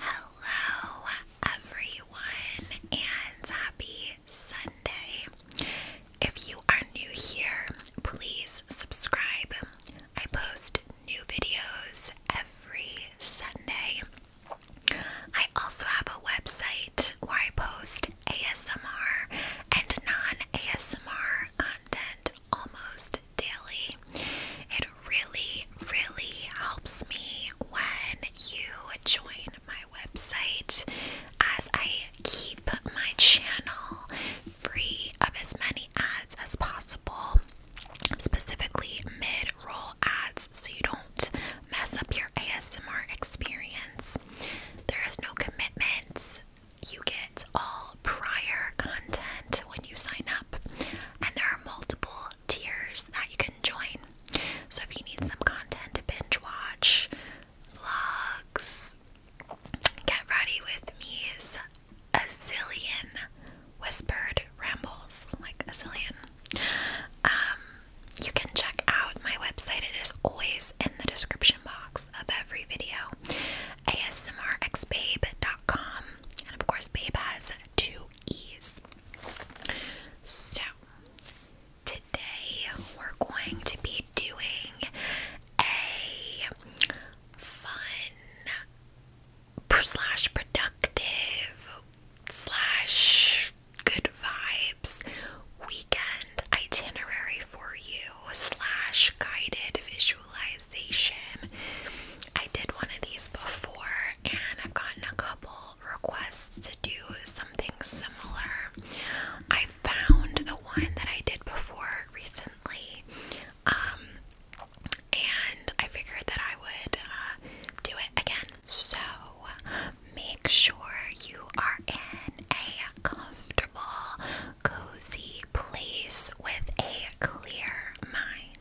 Hello, everyone, and happy Sunday. If you are new here, please subscribe. I post new videos every Sunday. I also have a website where I post ASMR and non ASMR content almost daily really, really helps me when you join my website as I keep my channel free of as many ads as possible, specifically mid roll ads, so you don't mess up your ASMR experience. There is no commitments. You get all prior content when you sign up, and there are multiple tiers that you can join. So if you need some content to binge watch, vlogs, get ready with me is a zillion whispered rambles, like a zillion. Um, you can check out my website. It is always in the description box of every video. ASMRXbabe.com. And of course, Babe has two ease. So, today we're going to be doing a fun slash productive slash good vibes weekend itinerary for you slash guided visualization I did one of these before, and I've gotten a couple requests to do something similar. I found the one that I did before recently, um, and I figured that I would uh, do it again. So make sure you are in a comfortable, cozy place with a clear mind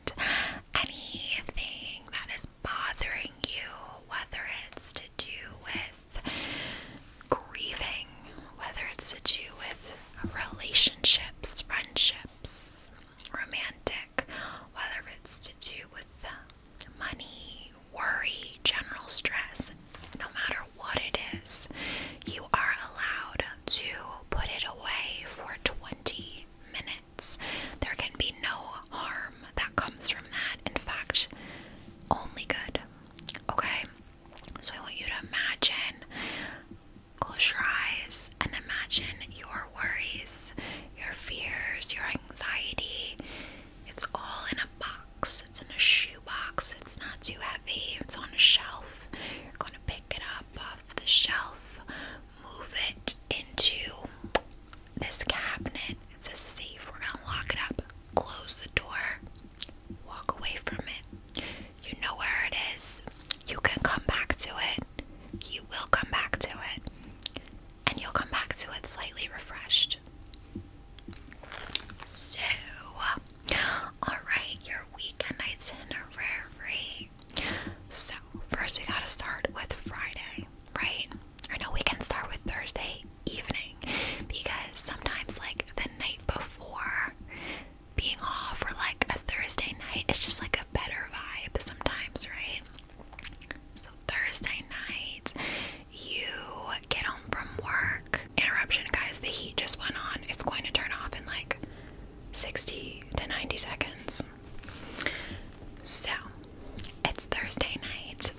anything that is bothering you, whether it's to do with grieving, whether it's to do with relationships, friendships, romantic, whether it's to do with money, worry, general stress, no matter what it is, you are allowed to put it away for 20 minutes. There can be no harm that comes from that. In fact, only good. Okay? So I want you to imagine, close your eyes and imagine your worries, your fears, your anxiety. It's all in a box, it's in a shoebox, it's not too heavy, it's on a shelf. You're going to pick it up off the shelf, move it into this cabinet. It's a safe. We're gonna lock it up, close the door, walk away from it. You know where it is. You can come back to it. You will come back to it. And you'll come back to it slightly refreshed. So, alright, your weekend itinerary. So, first we gotta start with Friday, right? I know we can start with Thursday evening because sometimes, like, the night before being off or like a Thursday night, it's just like a better vibe sometimes, right? So, Thursday night, you get home from work. Interruption, guys, the heat just went on. It's going to turn off in like 60 to 90 seconds. So, it's Thursday night.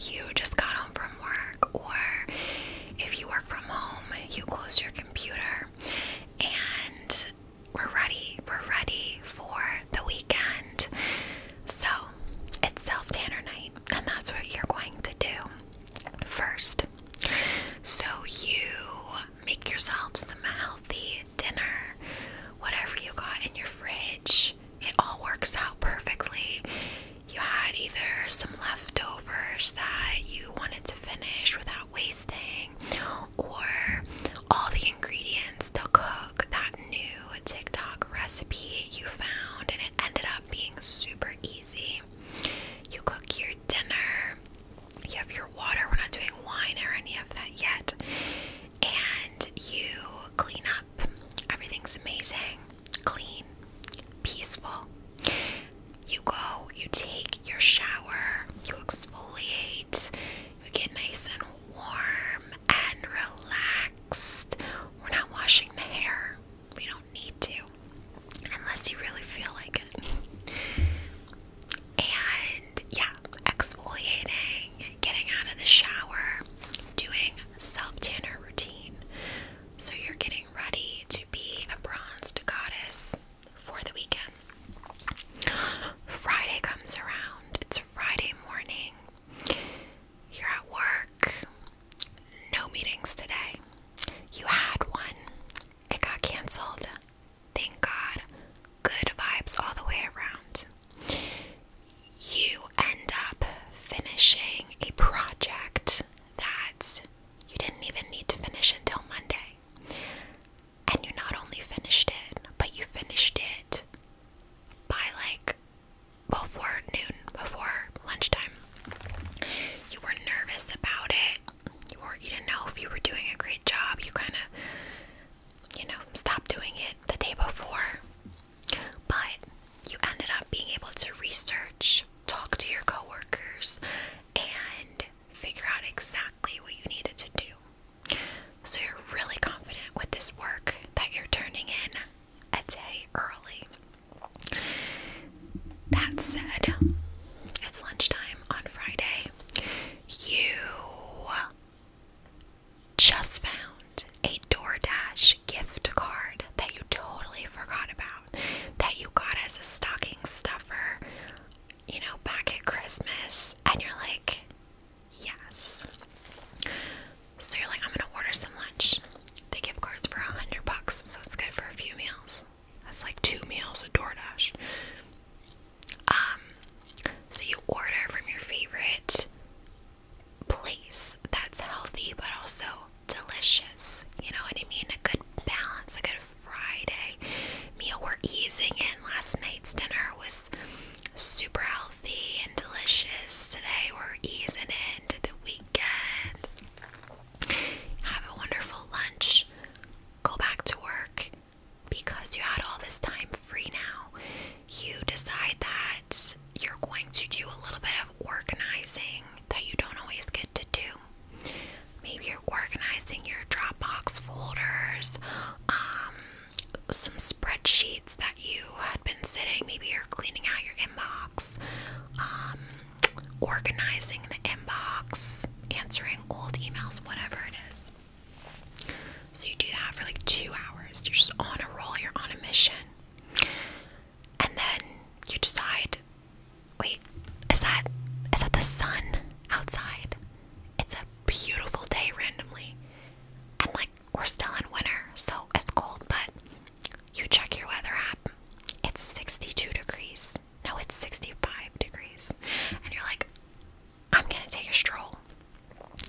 You just got home from work, or if you work from home, you close your computer, and we're ready. We're ready for the weekend. So, it's self tanner night, and that's what you're going to do first. So, you make yourself some healthy dinner, whatever you got in your fridge. It all works out perfectly. You had either some leftovers that you wanted to finish without wasting, or all the ingredients to cook that new TikTok recipe you found, and it ended up being super easy. You cook your dinner, you have your water, we're not doing wine or any of that yet, and you clean up. Everything's amazing, clean, peaceful. You go, you take your shower, you exfoliate, you get nice and warm and relaxed. We're not washing the hair, we don't need to, unless you really feel like it. And yeah, exfoliating, getting out of the shower, doing self tanner routine. So you're getting ready to be a bronzed goddess for the weekend. Friday comes around, it's Friday morning. You're at work, no meetings today. You had one, it got canceled. Thank God. Good vibes all the way around. You end up finishing a project that you didn't even need to finish until Monday. And you not only finished it, but you finished it by like before noon, before lunchtime. You were nervous about it. You, were, you didn't know if you were doing a great job. You kind of you know, stop doing it the day before. But you ended up being able to research, talk to your coworkers, and figure out exactly what you needed to do. So you're really confident with this work that you're turning in a day early. That said, it's lunchtime on Friday. You just found a DoorDash gift card that you totally forgot about, that you got as a stocking stuffer, you know, back at Christmas, and you're like, yes. So you're like, I'm gonna order some lunch. They gift cards for a hundred bucks, so it's good for a few meals. That's like two meals at DoorDash. Um, so you order from your favorite place that's healthy but also delicious. You know what I mean? A good balance, a good Friday meal. We're easing in. Last night's dinner was super healthy and delicious. Today we're easing into the weekend. Have a wonderful lunch. Go back to work because you had all this time free now, you decide that you're going to do a little bit of organizing that you don't always get to do. Maybe you're organizing your Dropbox folders, um, some spreadsheets that you had been sitting. Maybe you're cleaning out your inbox, um, organizing the inbox, answering old emails, whatever it is. So you do that for like two hours. You're just on a roll, you're on a mission. And then you decide, wait, is that is that the sun outside? It's a beautiful day randomly. And like we're still in winter, so it's cold, but you check your weather app. It's 62 degrees. No, it's 65 degrees. And you're like, I'm gonna take a stroll.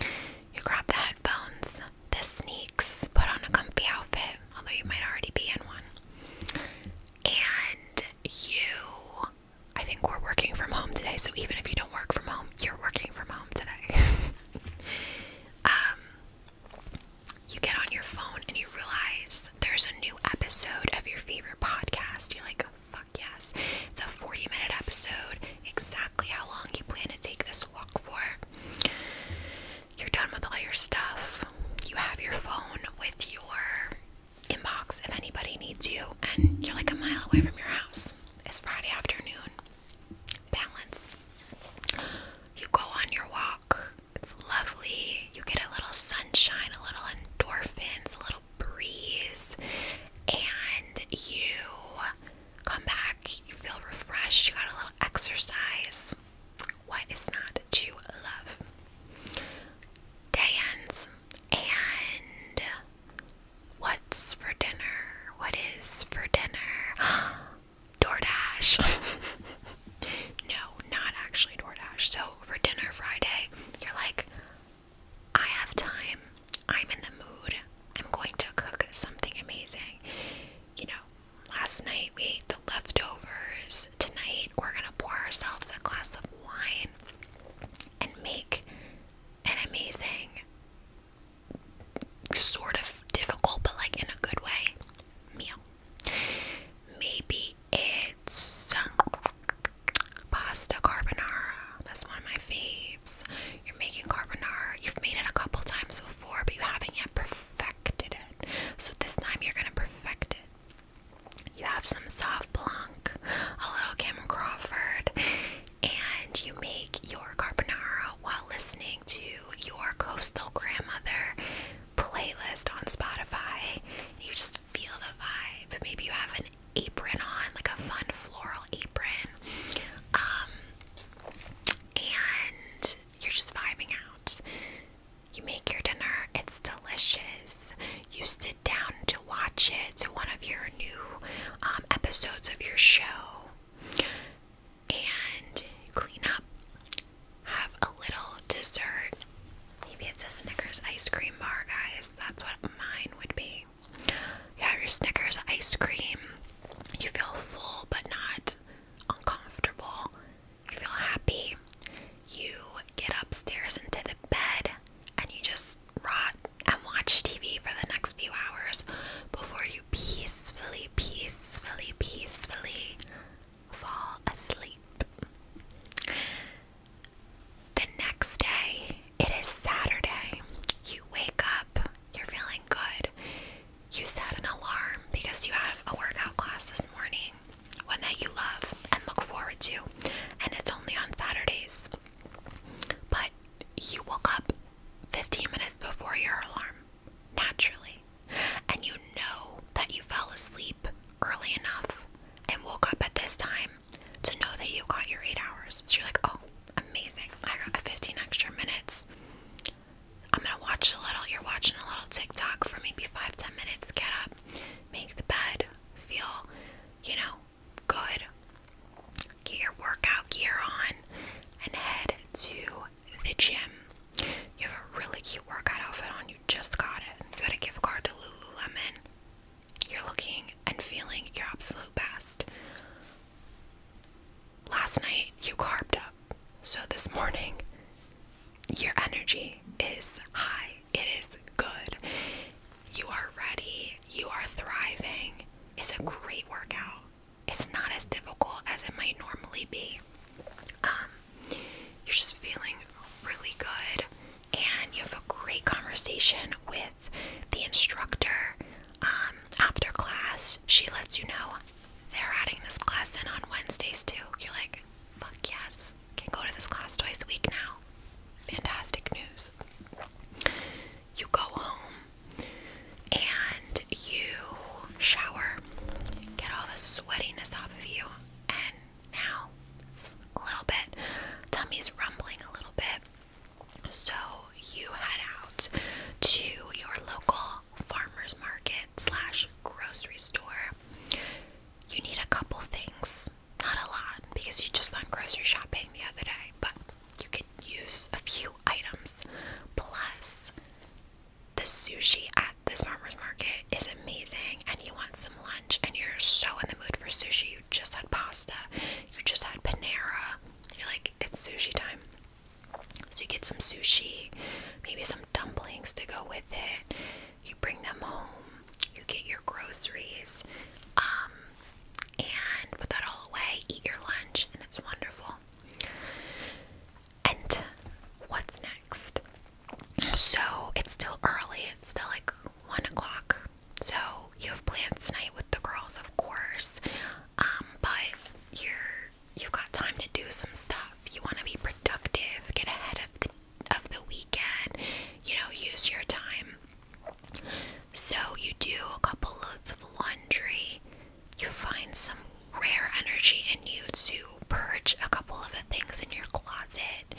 You grab the headphones, the sneaks, put on a comfy outfit, although you might already be in one. And you, I think we're working from home today, so even if you don't work from home, you're working from home today. um, you get on your phone and you realize there's a new episode of your favorite podcast. You're like, fuck yes. It's a 40 minute episode. Exactly exactly how long you plan to take this walk for. You're done with all your stuff. You have your phone with your inbox if anybody needs you, and you're like a mile away from your house. It's Friday afternoon. Balance. You go on your walk. It's lovely. You get a little sunshine, a little endorphins, a little breeze, and you come back, you feel refreshed, you got a little exercise. What is not to love? Dance and what's for dinner? What is for dinner? DoorDash. no, not actually DoorDash. So for dinner Friday, you're like, I have time I'm in the mood. I'm going to cook something amazing. You know, last night we ate the leftovers. Tonight we're going to pour ourselves a glass of wine and make an amazing, sort of difficult, but like in a good way, meal. Maybe it's pasta carbonara. That's one of my faves. You're making carbonara. You've made it a couple times before, but you haven't yet perfected it. So this time you're gonna perfect it. You have some soft blanc, a little Kim Crawford, and you make your carbonara while listening to your coastal grandmother playlist on Spotify. You just feel the vibe. Maybe you have an apron on, like a fun floral apron. Um, and you're just vibing out. You make your dinner, it's delicious. You sit down to watch it, to one of your new um, episodes of your show, and clean up. Have a little dessert. Maybe it's a Snickers ice cream bar, guys. That's what mine would be. You have your Snickers ice cream. You feel full but not uncomfortable. You feel happy. You get upstairs into the bed and you just rot and watch TV for the next few hours before you peacefully, peacefully, peacefully fall asleep. The next day, it is Saturday. You wake up, you're feeling good. You set an alarm because you have a workout class this morning, one that you love and look forward to, and it's only on Saturdays. But you woke up 15 minutes before your alarm, naturally, and you know that you fell asleep early enough and woke up at this time to know that you got your eight hours. So you're like, oh, amazing. I got 15 extra minutes. I'm gonna watch a little, you're watching a little TikTok for maybe five, ten minutes. Get up, make the bed, feel, you know, good. Get your workout gear on and head to the gym. You have a really cute workout outfit on, you just got it. You got a gift card to Lululemon. You're looking and feeling your absolute best. Last night you carved up. So this morning your energy is high. It is good. You are ready. You are thriving. It's a great workout. It's not as difficult as it might normally be. Um, you're just feeling really good, and you have a great conversation with the instructor um, after class, she lets you know they're adding this class in on Wednesdays too. You're like, fuck yes, can go to this class twice a week now. Fantastic news. You go home and you shower, get all the sweatiness off of you, and now it's a little bit, tummy's rumbling a little bit. So you head out to your local farmer's market slash grocery store. You need a couple things, not a lot, because you just went grocery shopping the other day, but you could use a few items. Plus, the sushi at this farmer's market is amazing, and you want some lunch, and you're so in the mood for sushi. You just had pasta, you just had Panera. You're like, it's sushi time. So you get some sushi, maybe some dumplings to go with it. You bring them home, you get your groceries, um, and put that all away, eat your lunch, and it's wonderful. And what's next? So it's still early, it's still like one o'clock. So you have plans tonight with the girls, of course. Um, but you're you've got time to do some stuff. You want to be productive, get ahead of the of the weekend, you know, use your time. So you do a couple loads of laundry. You find some rare energy in you to purge a couple of the things in your closet.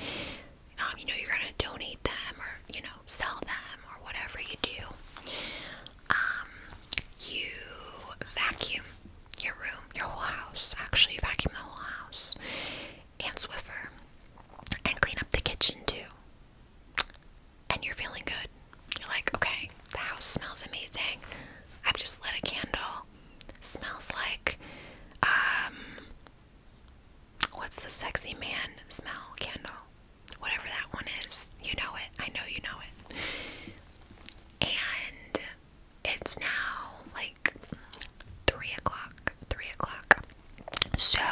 Um, you know, you're gonna donate them or you know, sell them or whatever you do. Um, you vacuum your room, your whole house. Actually, vacuum the whole house and Swiffer, and clean up the kitchen too. And you're feeling good. You're like, okay, the house smells amazing. I've just lit a candle. Smells like, um, what's the sexy man smell candle? whatever that one is. You know it. I know you know it. And it's now like three o'clock. Three o'clock. So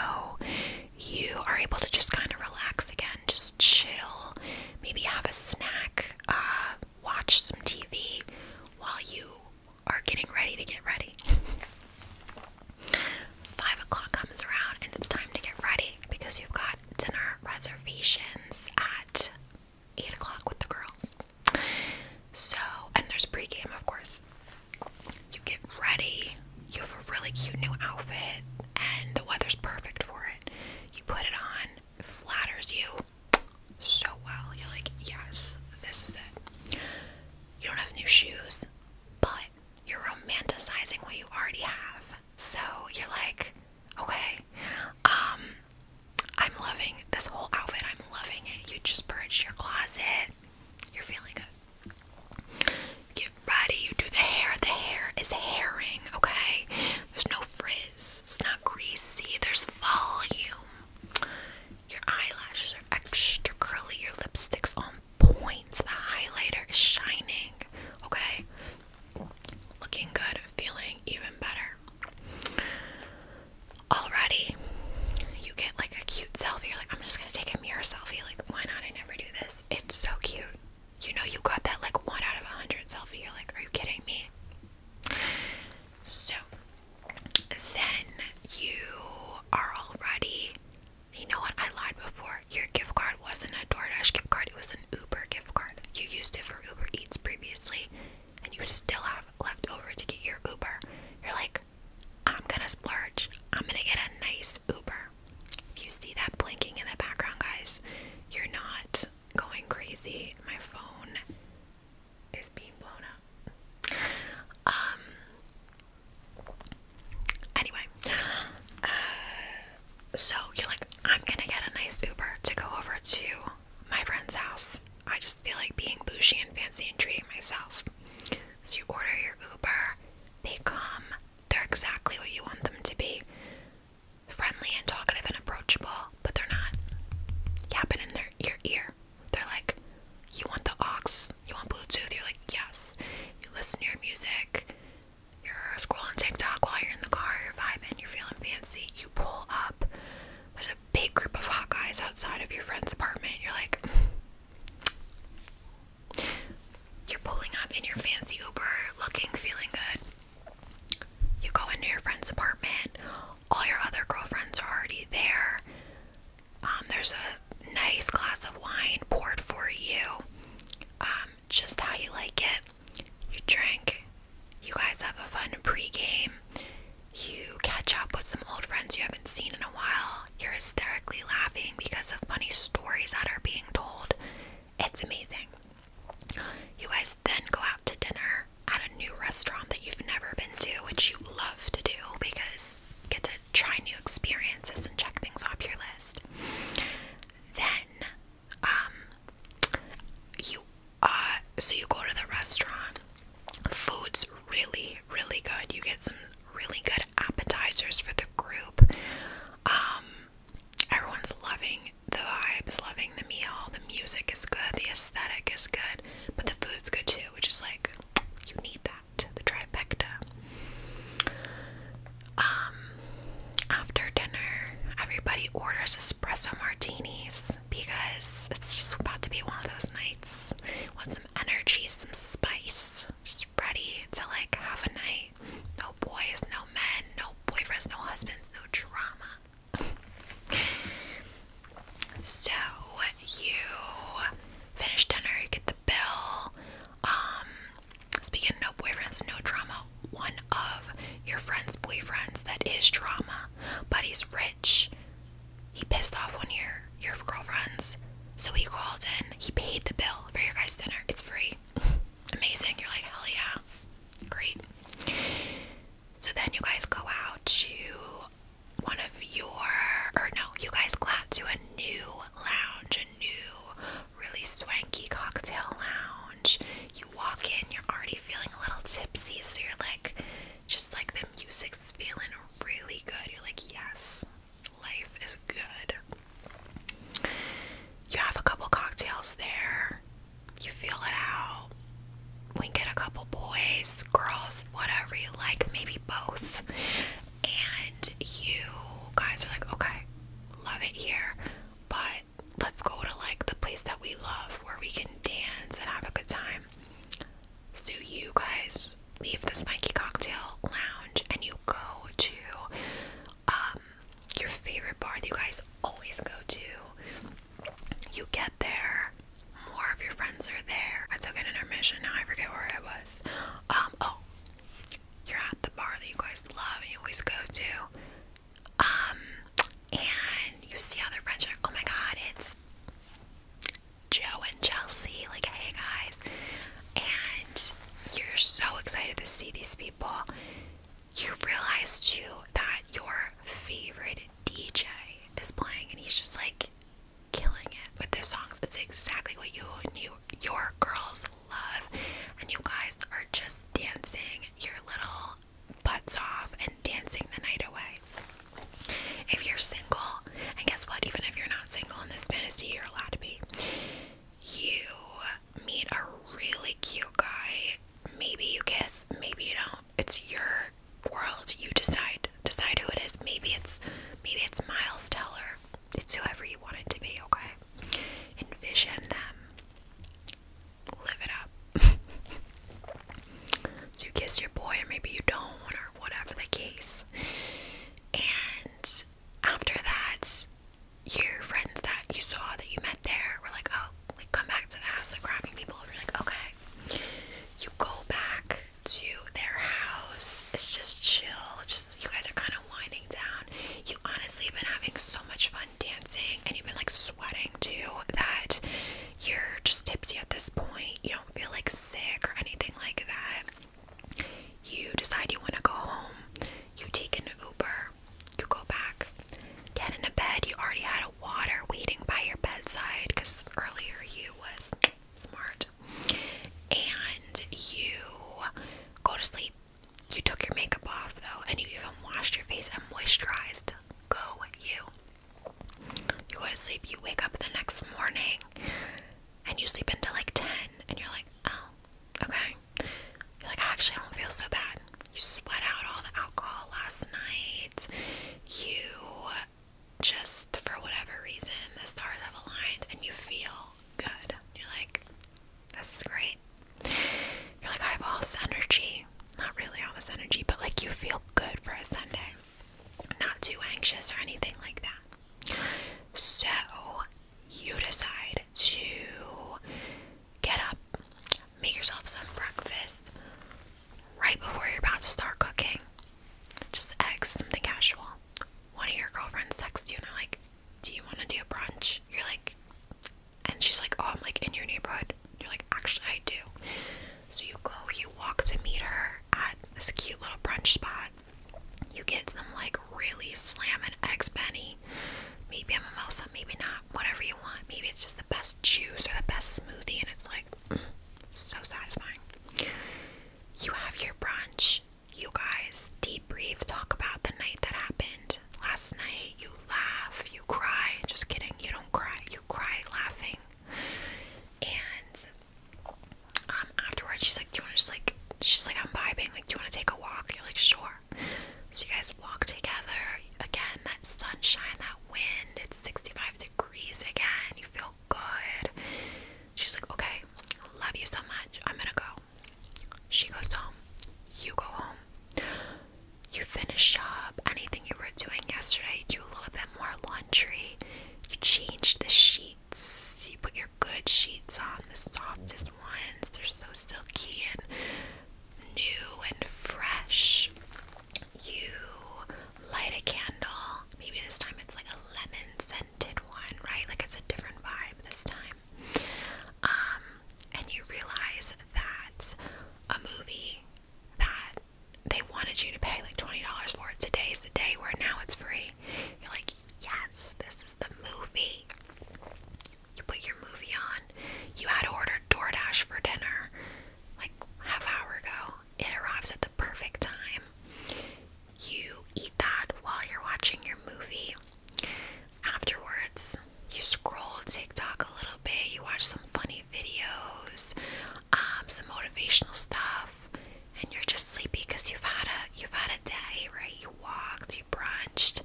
you are able to just kind of relax again, just chill, maybe have a snack, uh, watch some TV while you are getting ready to get ready. Five o'clock comes around and it's time to get ready because you've got dinner reservations at 8 o'clock with the girls. So, and there's pregame, of course. You get ready, you have a really cute new outfit, and the weather's perfect for it. You put it on, flatters you so well. You're like, yes, this is it. You don't have new shoes, but you're romanticizing what you already have. So you're like, Okay. Um I'm loving this whole outfit. I'm loving it. You just purge your closet. You're feeling good. Get ready. You do the hair. The hair is herring, okay? There's no frizz. It's not greasy. There's volume. Your eyelashes are extra curly. Your lipstick's on point. The highlighter is shining, okay? Looking good, feeling even better. Already, you get like a cute selfie. like, I'm just gonna take a mirror selfie. Like, why not? I never do this. It's so cute. You know, you got that like one out of a hundred selfie. You're like, are you kidding me? So then you are all You know what? I lied before. Your gift card wasn't a DoorDash gift card, it was an Uber gift card. You used it for Uber Eats previously, and you still have left over to get your Uber. You're like, I'm gonna splurge. I'm gonna get a nice Uber. If you see that blinking in the background, guys, you're not going crazy. My phone is being blown up. Um. Anyway, uh, so you're like, I'm gonna get a nice Uber to go over to my friend's house. I just feel like being bougie and fancy and treating myself. So you order your Uber, they come, they're exactly what you want them to be friendly and talkative and approachable, but they're not yapping in their, your ear. They're like, You want the aux? You want Bluetooth? You're like, Yes. You listen to your music you're scrolling TikTok while you're in the car, you're vibing, you're feeling fancy, you pull up, there's a big group of hot guys outside of your friend's apartment, you're like you're pulling up in your fancy Uber, looking, feeling good. You go into your friend's apartment, all your other girlfriends are already there. Um, there's a nice glass of wine poured for you. Um, just how you like it. You drink, you guys have a fun pregame, you catch up with some old friends you haven't seen in a while, you're hysterically laughing because of funny stories that are being told. It's amazing. You guys then go out to dinner at a new restaurant that you've never been to, which you love to do because you get to try new experiences and check things off your list. Then um you uh so you go to the restaurant food's really really good you get some really good appetizers for the group um everyone's loving the vibes loving the meal the music is good the aesthetic is good but the food's good too which is like you need that the trifecta um after dinner everybody orders a espresso martinis because it's just about to be one of those nights. Want some energy, some spice, just ready to like have a night. No boys, no men, no boyfriends, no husbands, no drama. so you finish dinner, you get the bill. Um, speaking of no boyfriends, no drama, one of your friend's boyfriends that is drama, but he's rich. He pissed off one of your, your girlfriends. So he called in. He paid the bill for your guys' dinner. It's free. Amazing. You're like, hell yeah. Great. So then you guys go out to one of your, or no, you guys go out to a new lounge, a new, really swanky cocktail lounge you walk in, you're already feeling a little tipsy, so you're like, just like the music's feeling really good. You're like, yes, life is good. You have a couple cocktails there, you feel it out. We get a couple boys, girls, whatever you like, maybe both. And you guys are like, okay, love it here, but let's go to like the place that we love where we can dance and have a good time. So you guys leave the Spiky Cocktail Lounge and you go to um your favorite bar that you guys always go to. You get there, more of your friends are there. I took an intermission, now I forget where I was. Um, oh, you're at the bar that you guys love and you always go to. Um, and you see how their friends are. Oh my god, it's Joe and Chelsea. Like, hey guys. And you're so excited to see these people. You realize too that your favorite DJ is playing, and he's just like killing it with their songs. It's exactly what you and your girls love, and you guys are just dancing your little butts off and dancing the night away. If you're single, and guess what? Even if you're not single in this fantasy, you're allowed to be. You meet a really cute guy. Maybe you kiss, maybe you don't. It's your world. You decide. Decide who it is. Maybe it's maybe it's Miles Teller. It's whoever you want it to be, okay? Envision them live it up. so you kiss your boy, or maybe you don't, or whatever the case. And after that, your friends that you saw that you met there were like, oh, like come back to the house, like grabbing people. You're like, okay. You go back to their house. It's just chill. It's just you guys are kind of winding down. You honestly have been having so much fun dancing, and you've been like sweating too that you're just tipsy at this point, you don't feel like sick or anything like that. You decide you want to go home, you take an Uber, you go back, get in a bed. You already had a water waiting by your bedside because earlier you was smart, and you go to sleep. You took your makeup off though, and you even washed your face and moisturized Go you. You go to sleep, you wake up the next morning, and you sleep until like 10, and you're like, oh, okay. You're like, actually, I don't feel so bad. You sweat out all the alcohol last night. You just, for whatever reason, the stars have aligned, and you feel good. You're like, this is great. You're like, I have all this energy. Not really all this energy, but like you feel good for a Sunday. Not too anxious or anything like that. So you decide to get up, make yourself some breakfast right before you're about to start cooking. Just eggs, something casual. One of your girlfriends texts you and they're like, Do you want to do a brunch? You're like, and she's like, Oh, I'm like in your neighborhood. you're like, Actually, I do. So you go, you walk to meet her at this cute little brunch spot. You get some like really slamming x Benny. Maybe a mimosa, maybe not. Whatever you want. Maybe it's just the best juice or the best smoothie, and it's like so satisfying. You have your brunch. You guys debrief, talk about the night that happened last night, you laugh, you cry. Just kidding, you don't cry. You cry laughing. And um, afterwards, she's like, Do you want to just like, she's like, I'm vibing. Like, do you want to take a walk? You're like, Sure. So you guys walk together. Again, that sunshine, that wind, it's 65 degrees again. You feel good. She's like, Okay, love you so much. I'm gonna go. She goes home. You go home you finish up anything you were doing yesterday, do a little bit more laundry, you change the sheets, you put your good sheets on, the softest ones, they're so silky and new and fresh. You light a candle, maybe this time it's like a lemon scented one, right? Like it's a different vibe this time. Um, and you realize that a movie that they wanted you to pay like $20 for it. Today's the day where now it's free. You're like, yes, this is the movie. You put your movie on. You had ordered DoorDash for dinner like half hour ago. It arrives at the perfect time. You eat that while you're watching your movie. Afterwards, you scroll TikTok a little bit, you watch some funny videos, um, some motivational stuff, and you're just sleepy because you've had a you've had a day, right? You walked, you brunched,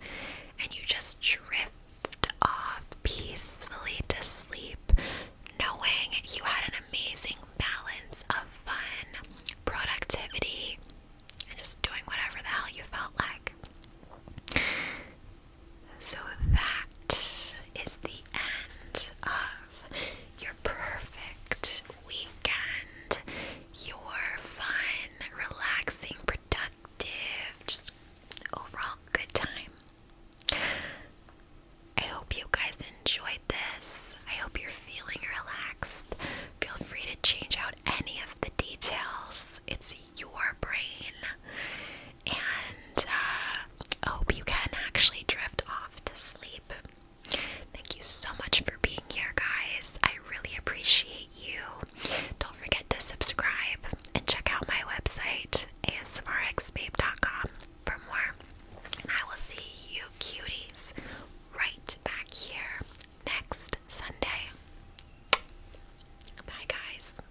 and you just drift off peacefully to sleep, knowing you had an amazing balance of fun, productivity, and just doing whatever the hell you felt like. So that is the end of your perfect weekend, your fun, relaxing, productive, just overall good time. I hope you guys enjoyed this. I hope you're feeling relaxed. Feel free to change out any of the details. It's your brain and uh, I hope you can actually drift off to sleep. Thank you so much for being here, guys. I really appreciate you. Don't forget to subscribe and check out my website, asmrxbabe.com, for more. I will see you cuties right back here next Sunday. Bye, guys.